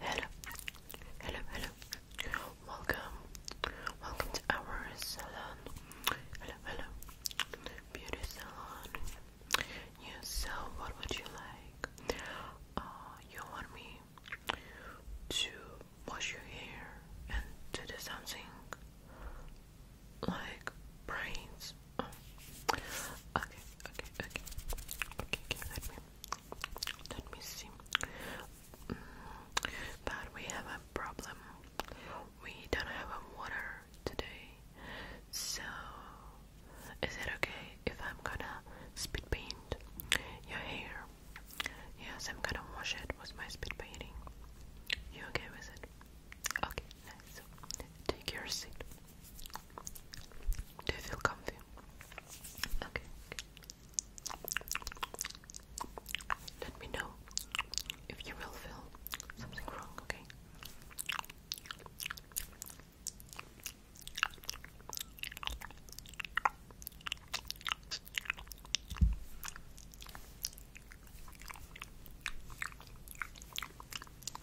Hello, hello, hello. Welcome, welcome to our salon. Hello, hello, beauty salon. You so what would you like? Uh, you want me to wash your hair and to do something like brains? Oh. Okay, okay, okay, okay, okay, let me, let me see. Mm, but we have a problem. We don't have water today. So, is it okay if I'm gonna speed paint your hair? Yes, I'm gonna wash it with my speed painting. You okay with it? Okay, nice. Take your seat. Do you feel comfy? Okay. Let me know if you will feel something wrong, okay?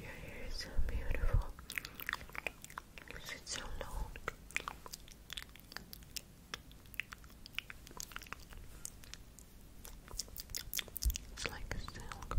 Your hair is so beautiful. Is so long? It's like silk.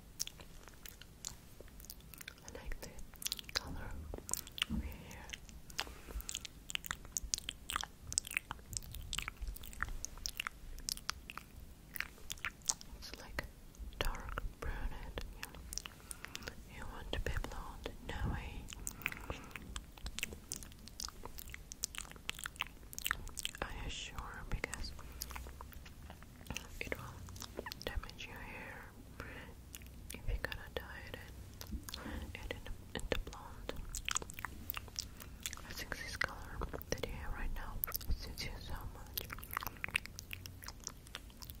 I like the color over here. It's like dark brunette. You want to be blonde? No way. Are you sure? Because it will damage your hair if you're gonna dye it in, it into blonde. I think this color that you have right now suits you so much.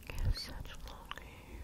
You have such long hair.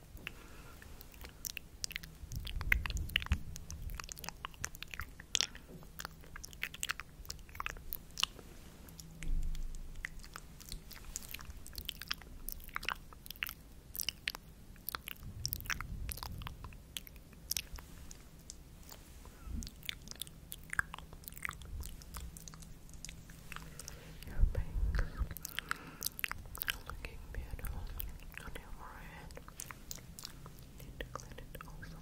Your bangs. Looking beautiful on your forehead. Need to clean it also.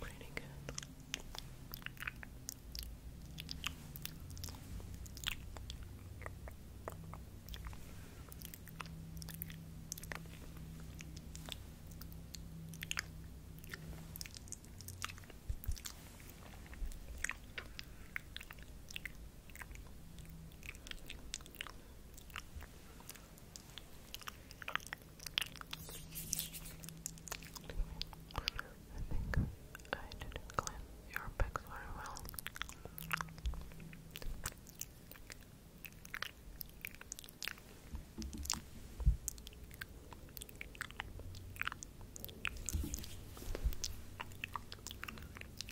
Pretty good. Okay think I didn't clean your pics very well.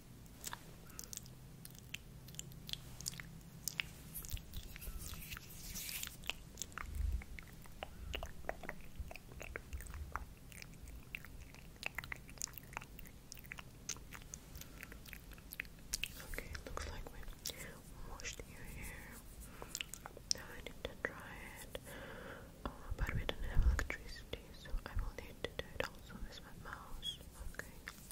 Okay, it looks like we washed your hair. Now I need to dry it. Uh, but we didn't have electricity, so I will need to do it also with mouse. Okay.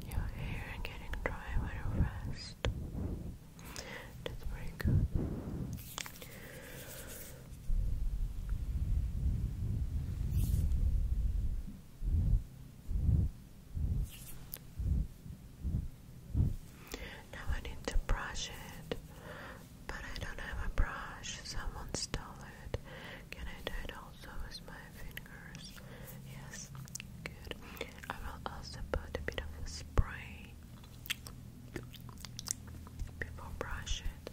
Your hair getting dry when you rest. That's very good. Now I need to brush it, but I don't have a brush. Someone stole it. Can I do it also with my fingers? Yes, good. I will also put a bit of spray before brush it.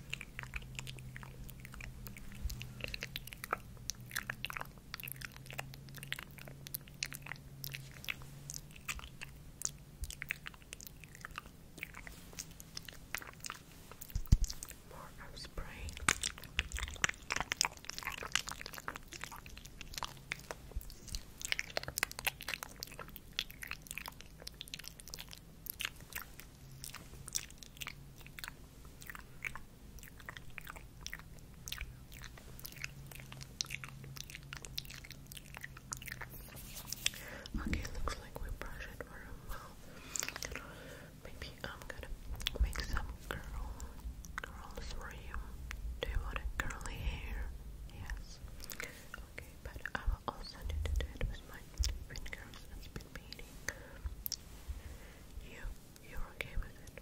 More of spray. Okay, looks like we brush it for Maybe I'm gonna make some curl curls for you. Do you want a curly hair? Yes. Okay, but I will also need to do it with my fingers. It's been beating. You, you're okay with it.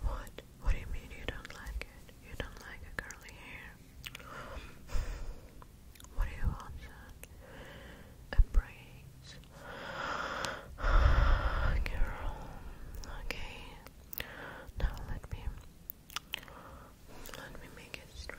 What? What do you mean you don't like it? You don't like a curly hair? What do you want, son? A brace. Girl. Okay. Now let me let me make it straight.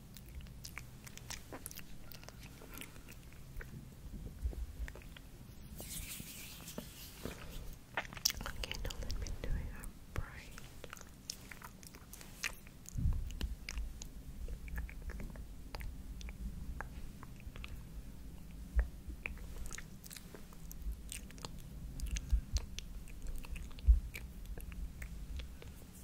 Okay, now let me do it up bright. Okay.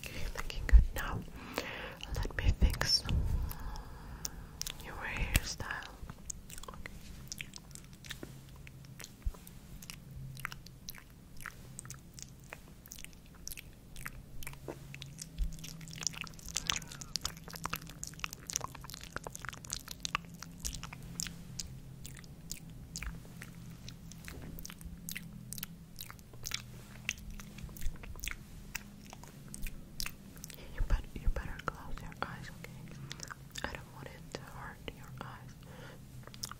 Okay, looking good now. Let me fix your hairstyle. You, bet you better close your eyes, okay? I don't want it to hurt your eyes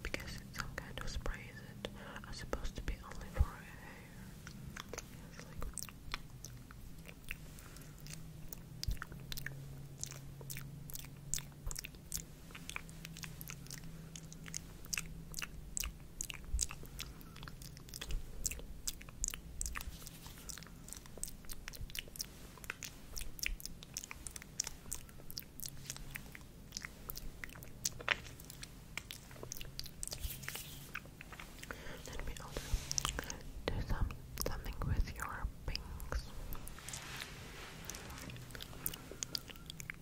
because some kind of spray that are supposed to be only for hair. Let me also do some something with your pinks.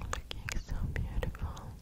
Looking so beautiful.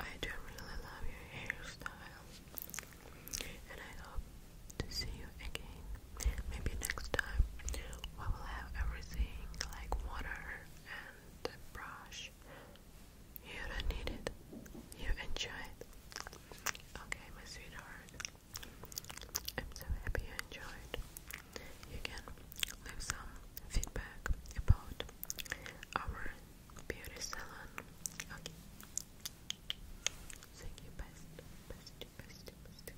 I do really love your hairstyle, and I hope to see you again. Maybe next time we will have everything like water and brush. You don't need it, you enjoy it. Okay, my sweetheart. I'm so happy you enjoyed. You can leave some feedback about our beauty salon. Okay. Thank you, best, best, best, best.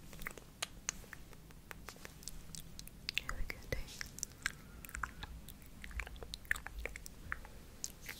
Have a good day.